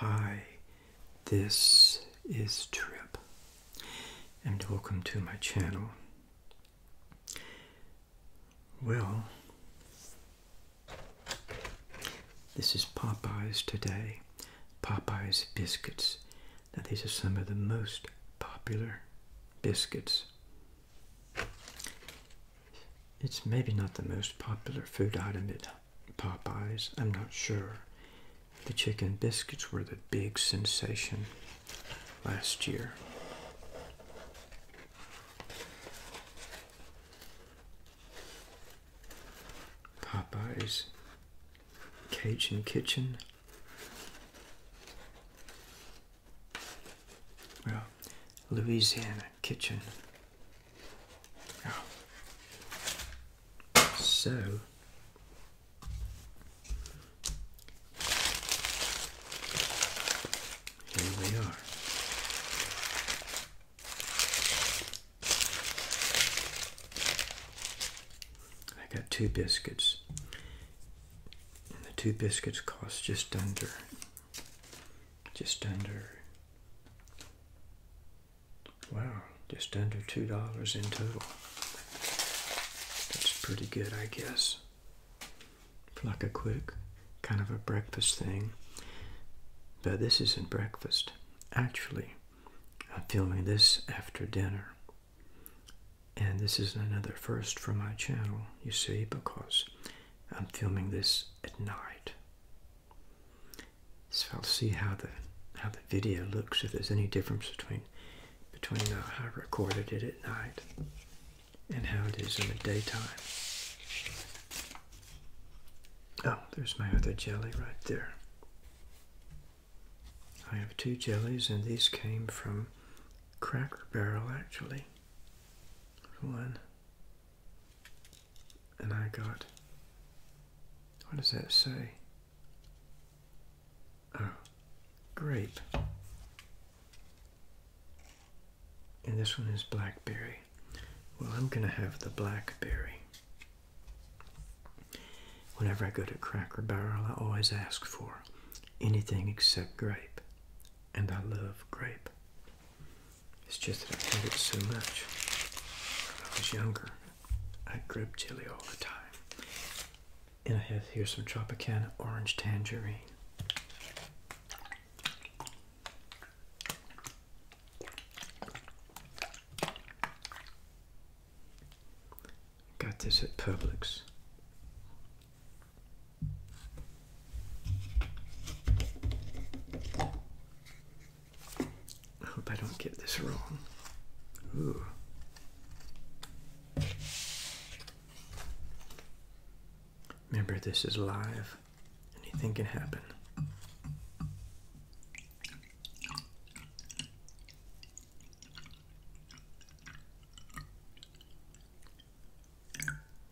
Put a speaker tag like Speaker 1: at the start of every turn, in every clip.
Speaker 1: Hi, this is Trip, and welcome to my channel. Well, this is Popeyes today. Popeyes biscuits. Now, these are some of the most popular biscuits it's maybe not the most popular food item at Popeyes. I'm not sure. The chicken biscuits were the big sensation last year. Popeye's Cajun Kitchen. Well, Louisiana kitchen. So here we are. I got two biscuits. And the two biscuits cost just under just under wow just under two dollars in total that's pretty good i guess for like a quick kind of a breakfast thing but this isn't breakfast actually i'm filming this after dinner and this is another first for my channel you see because I'm filming this at night. So I'll see how the how the video looks if there's any difference between between uh, how I recorded it at night and how it is in the daytime. Oh, there's my other jelly right there. I have two jellies and these came from Cracker Barrel actually. One and I got. What does that say? Oh, grape. And this one is blackberry. Well, I'm going to have the blackberry. Whenever I go to Cracker Barrel, I always ask for anything except grape. And I love grape. It's just that I hated it so much. When I was younger, I grabbed jelly all the time. And I have here some Tropicana orange tangerine. Got this at Publix. I hope I don't get this wrong. Ooh. Remember, this is live. Anything can happen.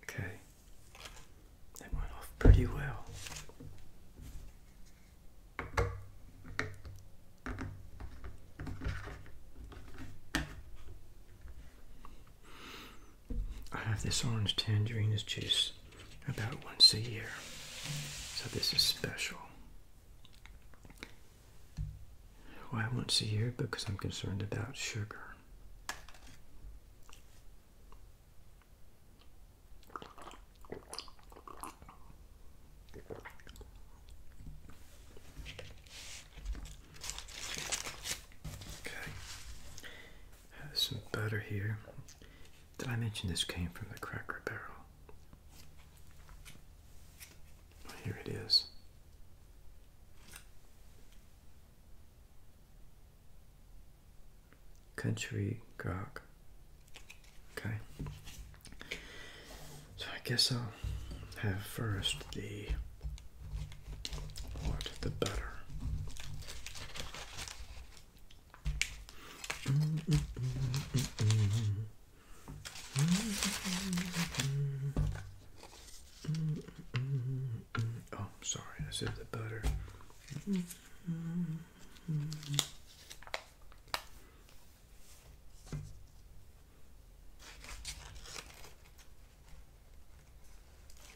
Speaker 1: Okay, it went off pretty well. I have this orange tangerine juice about once a year, so this is special. Why once a year? Because I'm concerned about sugar. Okay, have some butter here. Did I mention this came from the Cracker Barrel? here it is. Country grog. Okay. So I guess I'll have first the what the better. Oh, sorry, I said the butter.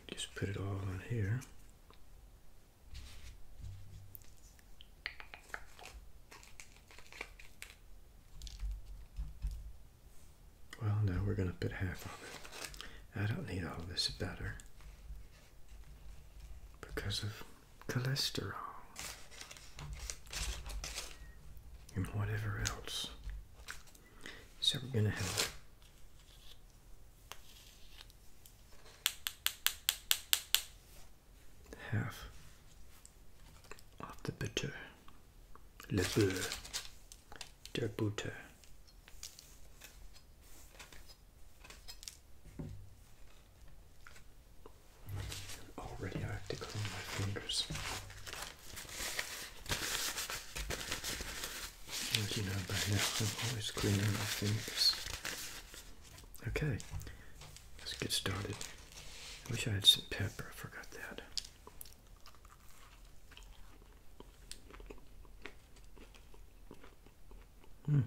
Speaker 1: Just put it all on here. Well, now we're going to put half of it. I don't need all this butter because of cholesterol and whatever else. So we're going to have half of the butter, le beurre. Der Butter. Already I have to clean my fingers. As you know by now, I'm always cleaning my fingers. Okay, let's get started. I wish I had some pepper, I forgot that. Hmm.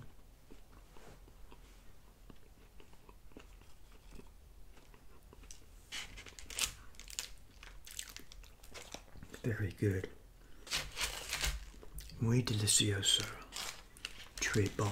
Speaker 1: Very good. Muy delicioso. Très bon.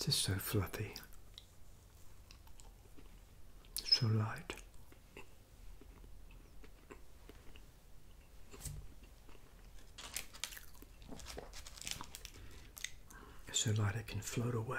Speaker 1: It's just so fluffy, so light. So light it can float away.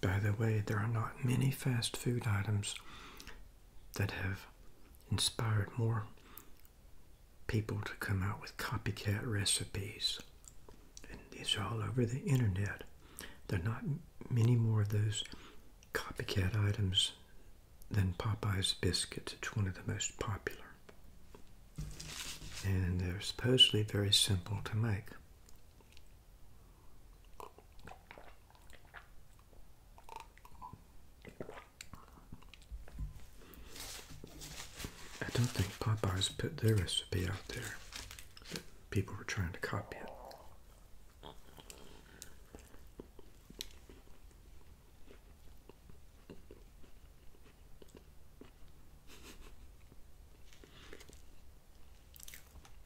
Speaker 1: By the way, there are not many fast food items that have inspired more people to come out with copycat recipes. And these are all over the internet. There are not many more of those copycat items than Popeye's biscuits. It's one of the most popular. And they're supposedly very simple to make. I don't think Popeyes put their recipe out there. But people were trying to copy it.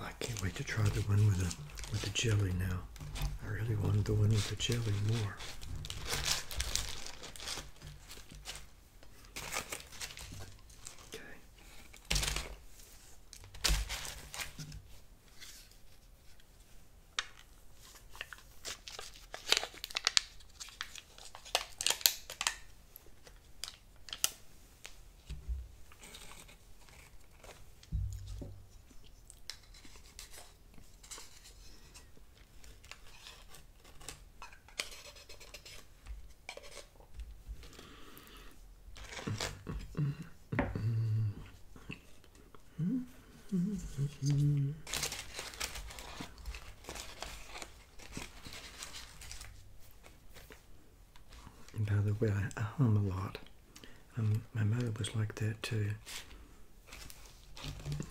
Speaker 1: I can't wait to try the one with the with the jelly now. I really wanted the one with the chili more. Okay. And by the way, I hum a lot. Um, my mother was like that too.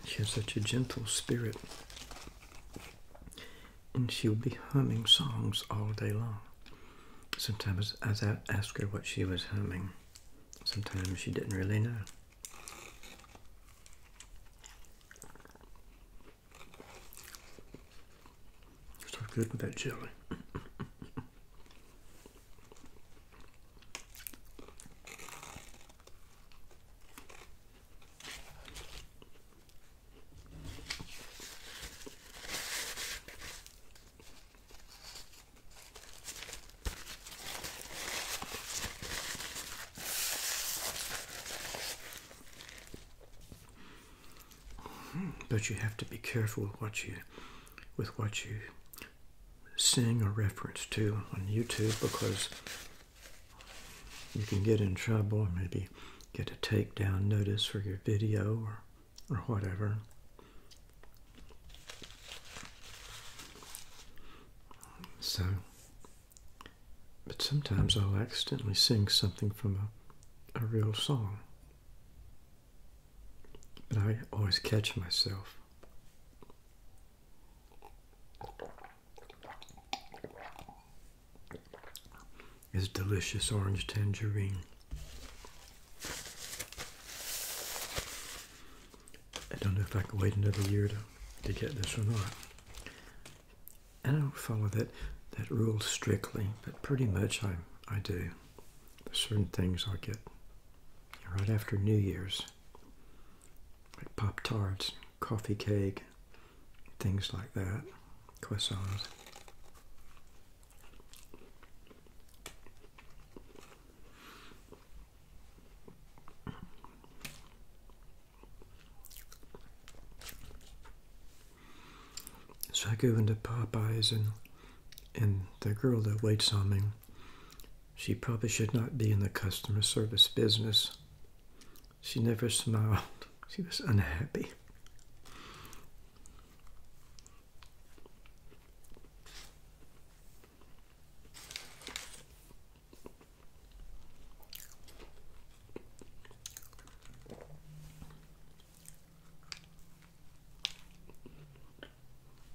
Speaker 1: She had such a gentle spirit. And she would be humming songs all day long. Sometimes as I asked her what she was humming, sometimes she didn't really know. So good with that jelly. Hmm, but you have to be careful with what you with what you sing a reference to on YouTube because you can get in trouble or maybe get a takedown notice for your video or, or whatever. So, but sometimes I'll accidentally sing something from a, a real song. But I always catch myself. It's delicious orange tangerine. I don't know if I can wait another year to, to get this or not. I don't follow that, that rule strictly, but pretty much I, I do certain things i get right after New Year's, like Pop Tarts, coffee cake, things like that, croissants. So I go into Popeyes and and the girl that waits on me, she probably should not be in the customer service business. She never smiled. She was unhappy.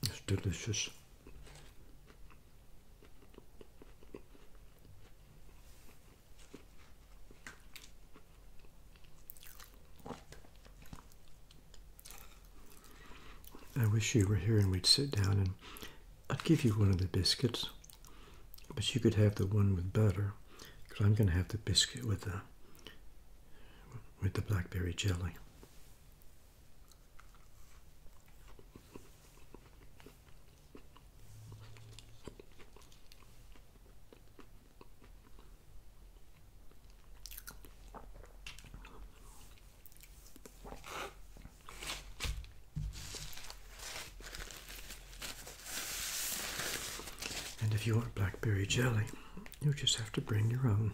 Speaker 1: It's delicious. I wish you were here and we'd sit down and I'd give you one of the biscuits, but you could have the one with butter because I'm going to have the biscuit with the with the blackberry jelly. And if you want blackberry jelly, you just have to bring your own.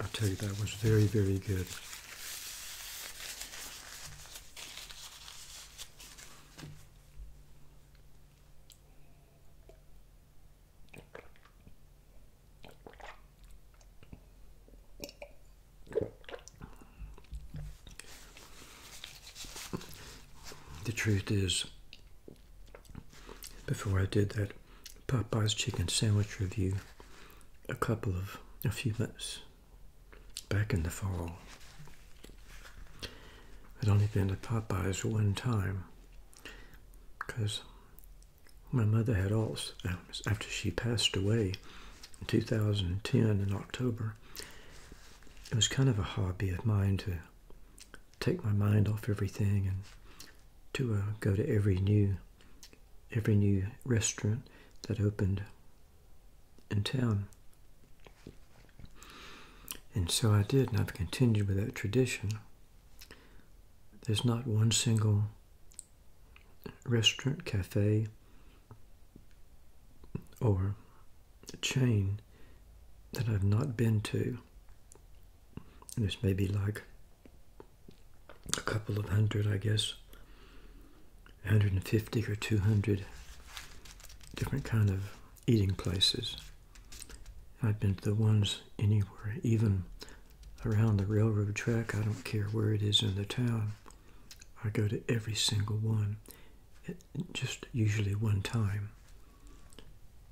Speaker 1: I'll tell you that was very, very good. The truth is, before I did that Popeye's chicken sandwich review a couple of, a few months back in the fall, I'd only been to Popeye's one time because my mother had also uh, after she passed away in 2010 in October. It was kind of a hobby of mine to take my mind off everything and to uh, go to every new every new restaurant that opened in town. And so I did, and I've continued with that tradition. There's not one single restaurant, cafe, or chain that I've not been to. there's maybe like a couple of hundred, I guess, 150 or 200 different kind of eating places. I've been to the ones anywhere, even around the railroad track. I don't care where it is in the town. I go to every single one, eh, just usually one time.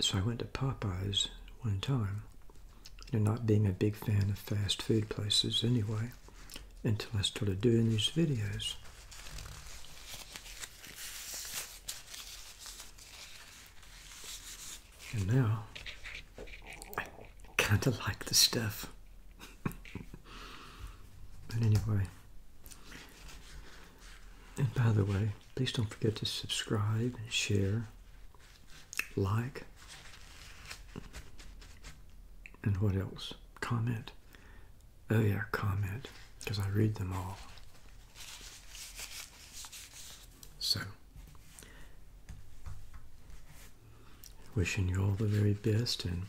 Speaker 1: So I went to Popeyes one time. And not being a big fan of fast food places anyway, until I started doing these videos. And now I kind of like the stuff. but anyway, and by the way, please don't forget to subscribe, share, like, and what else? Comment. Oh, yeah, comment because I read them all. So, wishing you all the very best and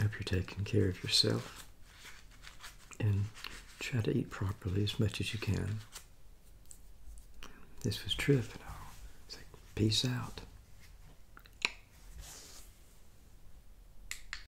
Speaker 1: hope you're taking care of yourself and try to eat properly as much as you can. This was Triff and I'll peace out.